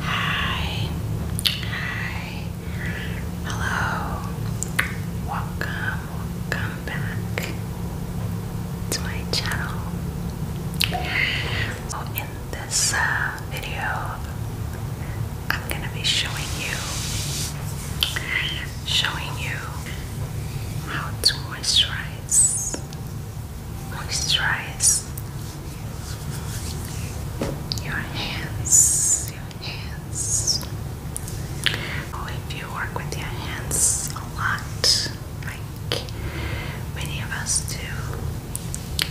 Hi, hi, hello, welcome, welcome back to my channel. So, in this uh, video, I'm gonna be showing you, showing you how to moisturize, moisturize your hands, your hands. Oh, if you work with your hands a lot, like many of us do,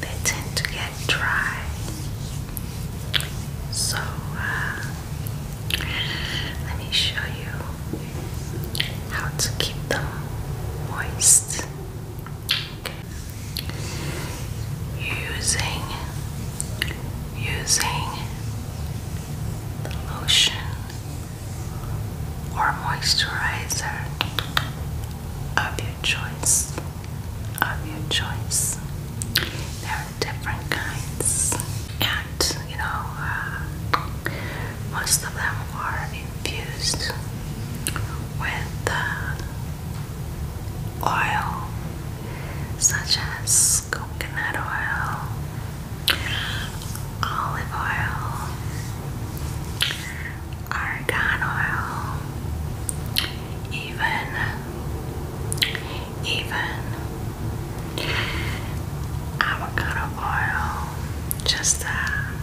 they tend to get dry. So, uh, let me show you how to keep them moist. Using, using the lotion or moisturizer of your choice, of your choice. There are different kinds, and you know, uh, most of them are infused with oil such as coconut oil, olive oil, argan oil, even even avocado oil, just a uh,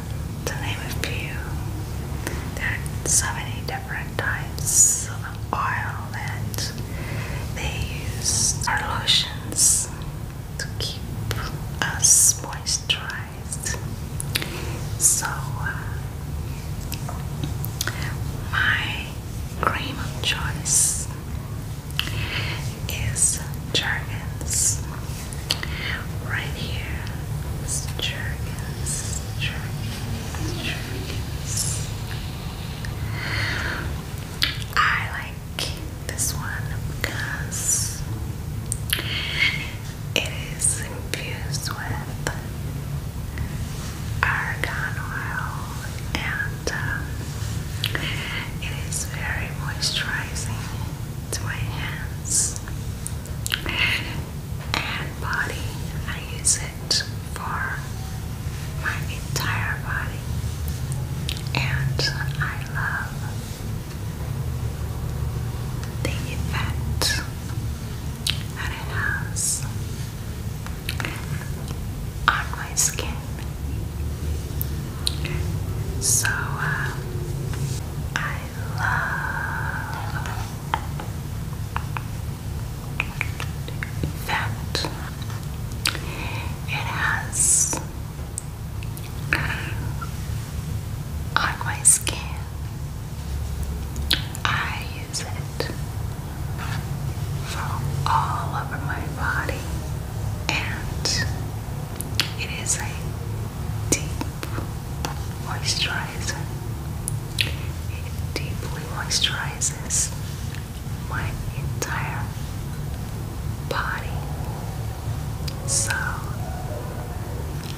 to name a few. There are so many different types of oil that they use our lotions to keep us moisturized. So uh, my cream of choice is Jergens Right here. I like this one because it is infused with argan oil and um, it is very moisturizing to my hands and body. I use it for my entire body, and I love the effect that it has on my skin. So uh, I love that it has on skin. I use it from all over my body, and it is a deep moisturizer. It deeply moisturizes my entire body. So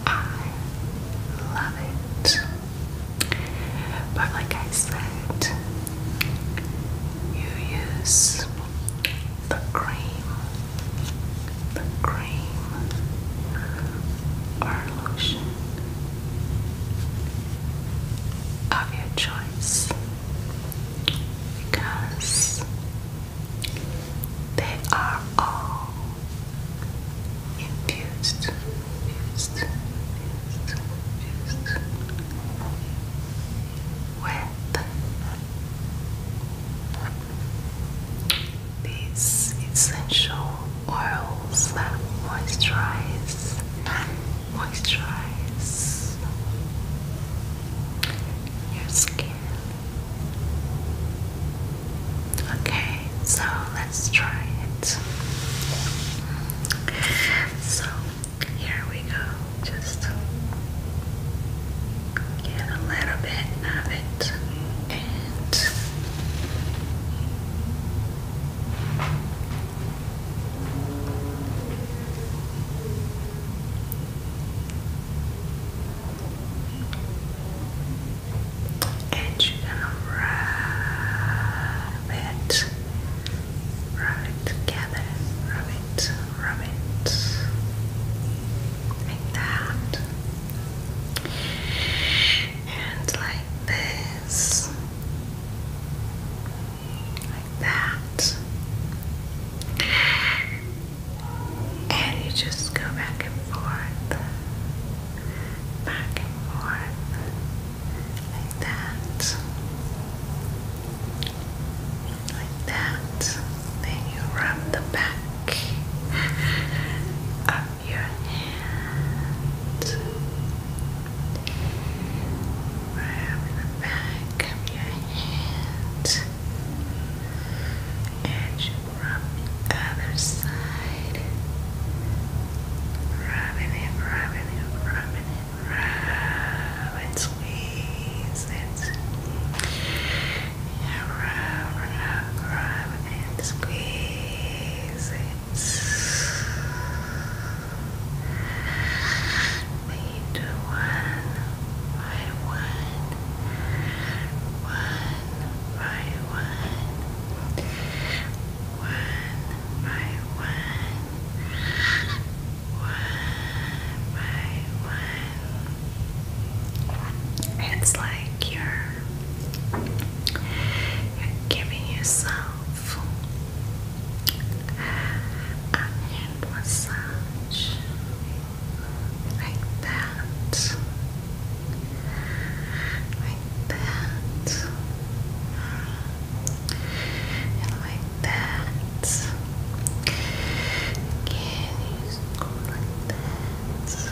I love it. But like I said, you use the cream the cream or lotion of your choice because they are all infused, infused, infused, these essential oils that moisturize, moisturize your skin. Okay, so let's try it. So here we go. Just get a little bit of it and you're gonna rub it, rub it together, rub it, rub it like that and like this, like that, and you just go back and forth, back and forth, like that, like that. Then you rub the back up your hand, grab the back of your hands and rub the other side rubbing it, rubbing it, rubbing it, rub and squeeze it rub, rub, rub, and squeeze it. We do one by one, one by one, one by one. One by one. It's like you're you're giving yourself a hand massage like that, like that, and like that. Can you go like that?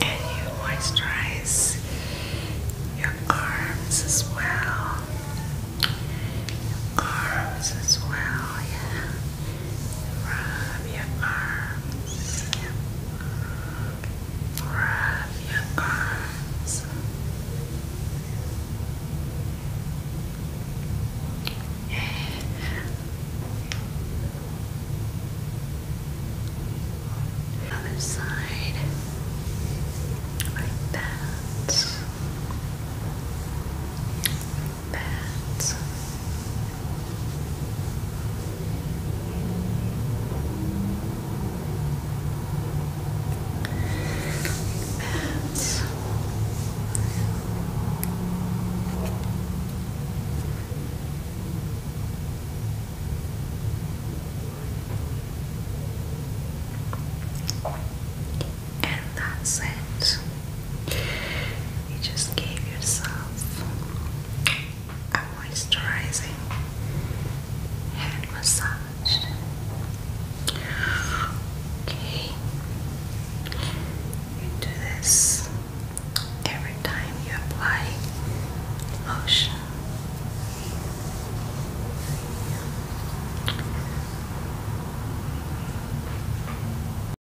And you moisturize your arms as well. arms as well, yeah. Rub your arms. Rub your arms. Other side, like that pads. And that's it. You just gave yourself a moisturizing hand massage. Okay, you do this every time you apply lotion.